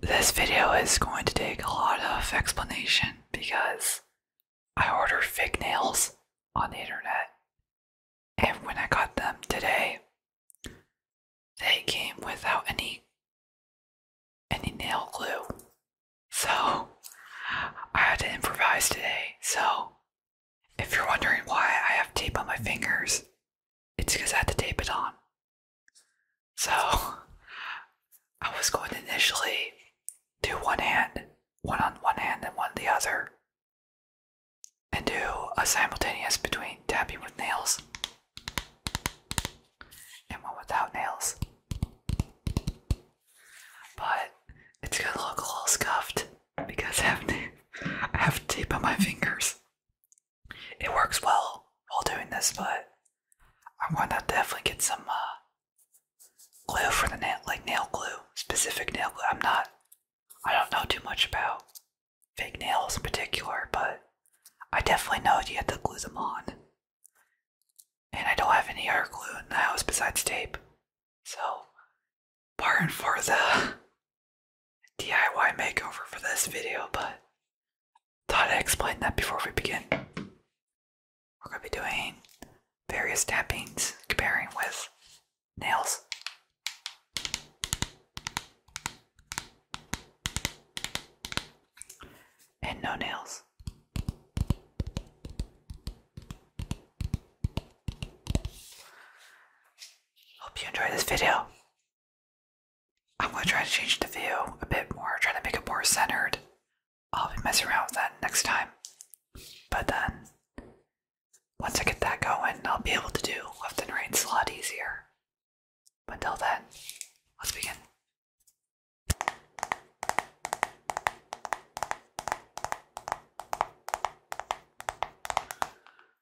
This video is going to take a lot of explanation because I ordered fake nails on the internet, and when I got them today, they came without any any nail glue. So I had to improvise today. So if you're wondering why I have tape on my fingers, it's because I had to tape it on. So, I was going to initially do one hand, one on one hand and one the other, and do a simultaneous between tapping with nails and one without nails. But it's gonna look a little scuffed because I have tape on my fingers it works well while doing this, but I'm going to definitely get some uh, glue for the nail, like nail glue, specific nail glue. I'm not, I don't know too much about fake nails in particular, but I definitely know you have to glue them on. And I don't have any other glue in the house besides tape. So pardon for the DIY makeover for this video, but thought I'd explain that before we begin. We're going to be doing various tappings comparing with nails. And no nails. Hope you enjoyed this video. I'm going to try to change the view a bit more, try to make it more centered. I'll be messing around with that next time. But then, once I get that going, I'll be able to do left and right a lot easier. until then, let's begin.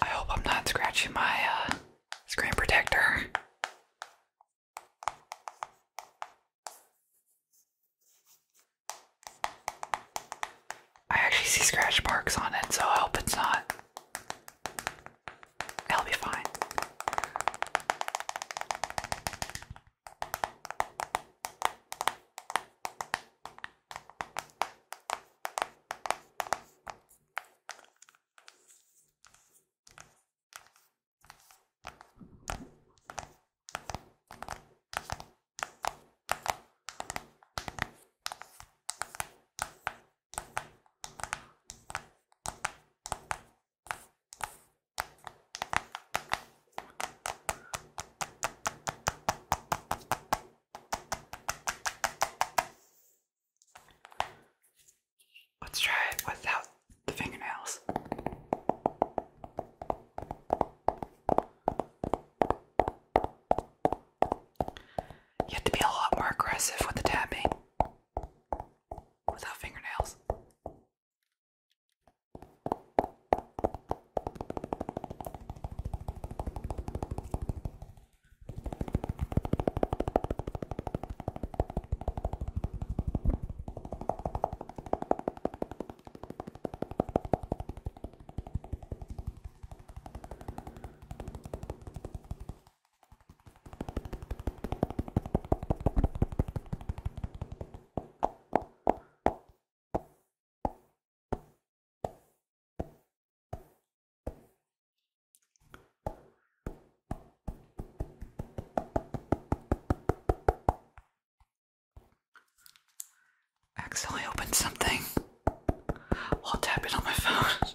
I hope I'm not scratching my uh, screen protector. I actually see scratch marks on it, so I hope it's not. It'll be fine. Let's try it without the fingernails. You have to be a lot more aggressive with the tapping without fingernails. Accidentally opened something while tapping on my phone.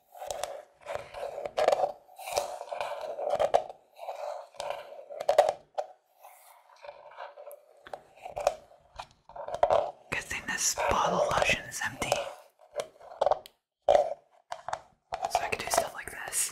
Good thing this bottle of lotion is empty. So I can do stuff like this.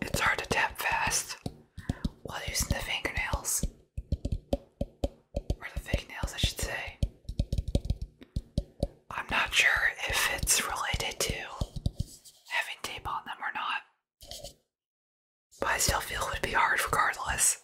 It's hard to tap fast while using the fingernails. Or the fake I should say. I'm not sure if it's related to having tape on them or not. But I still feel it would be hard regardless.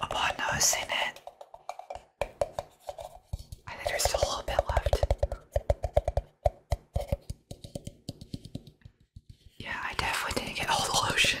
Upon noticing it, I think there's still a little bit left. Yeah, I definitely didn't get all the lotion.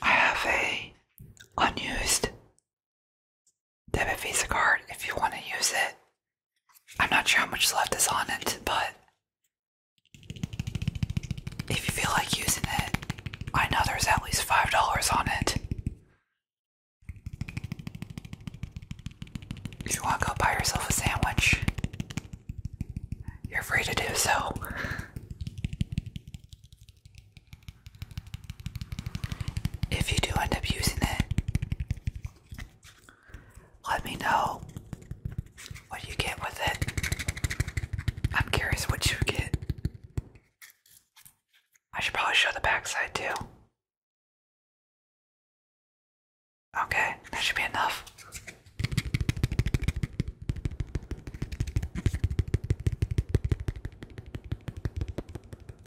I have a unused debit Visa card if you want to use it. I'm not sure how much left is on it, but if you feel like using it, I know there's at least $5 on it. If you want to go buy yourself a sandwich, you're free to do so. If you do end up using it, let me know what you get with it. I'm curious what you get. I should probably show the backside too. Okay, that should be enough.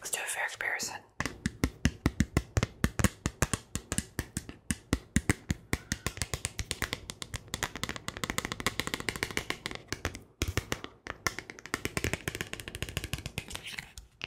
Let's do a fair comparison.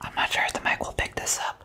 I'm not sure if the mic will pick this up.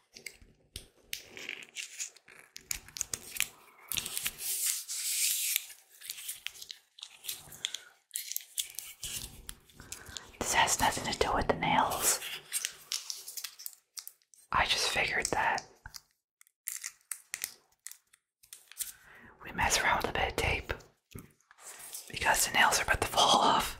This has nothing to do with the nails. I just figured that we mess around with a bit of tape because the nails are about to fall off.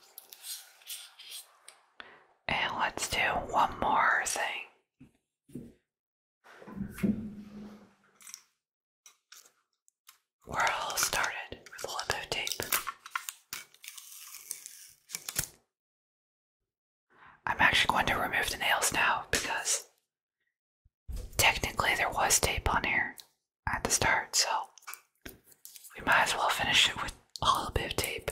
And let's do one more thing. We're all started with a lot tape. I'm actually going to remove the nails now because technically there was tape on here at the start, so we might as well finish it with a little bit of tape.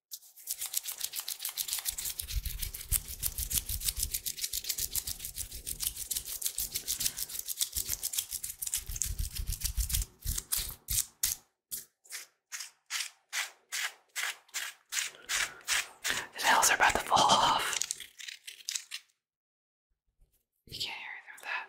The nails are about to fall off. You can't hear through that.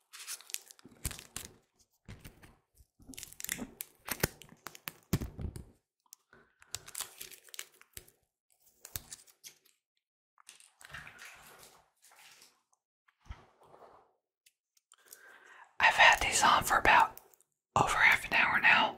I've had these on for about over half an hour now.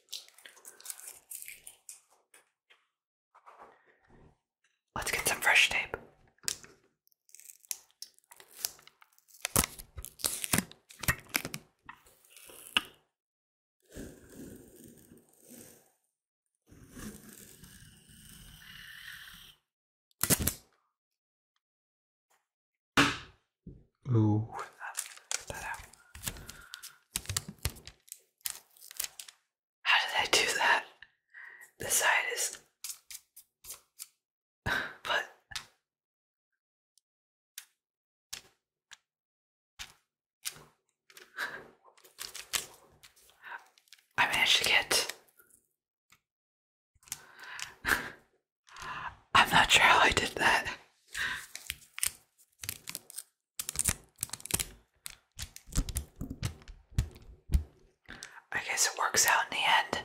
Let's get some fresh tape. Ooh, How did I do that? The side is. but. I managed to get. I'm not sure how I did that. I guess it works out in the end.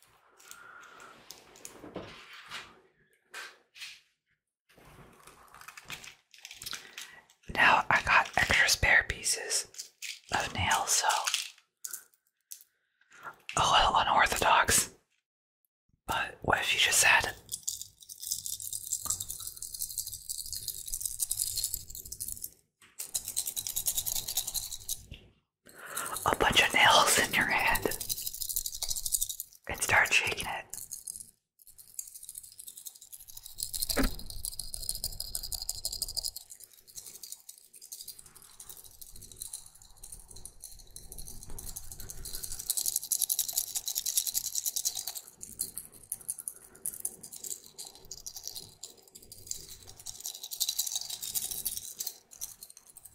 Now I got extra spare pieces of nails, so a little unorthodox. But what have you just said? a bunch of nails in your head and start shaking it.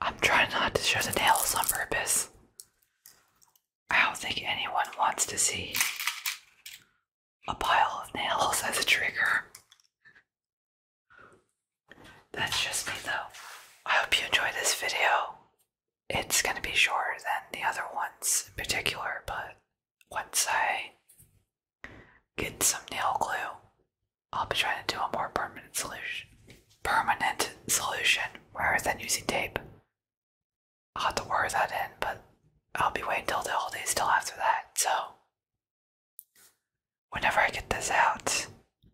I'm trying not to show the nails on purpose. I don't think anyone wants to see a pile of nails as a trigger. That's just me though. I hope you enjoy this video. It's going to be shorter than the other ones in particular, but once I Get some nail glue. I'll be trying to do a more permanent solution. Permanent solution rather than using tape. I'll have to work that in, but I'll be waiting till the holidays still after that, so whenever I get this out,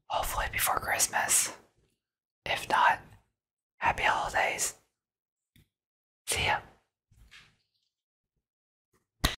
hopefully before Christmas. If not, happy holidays. See ya.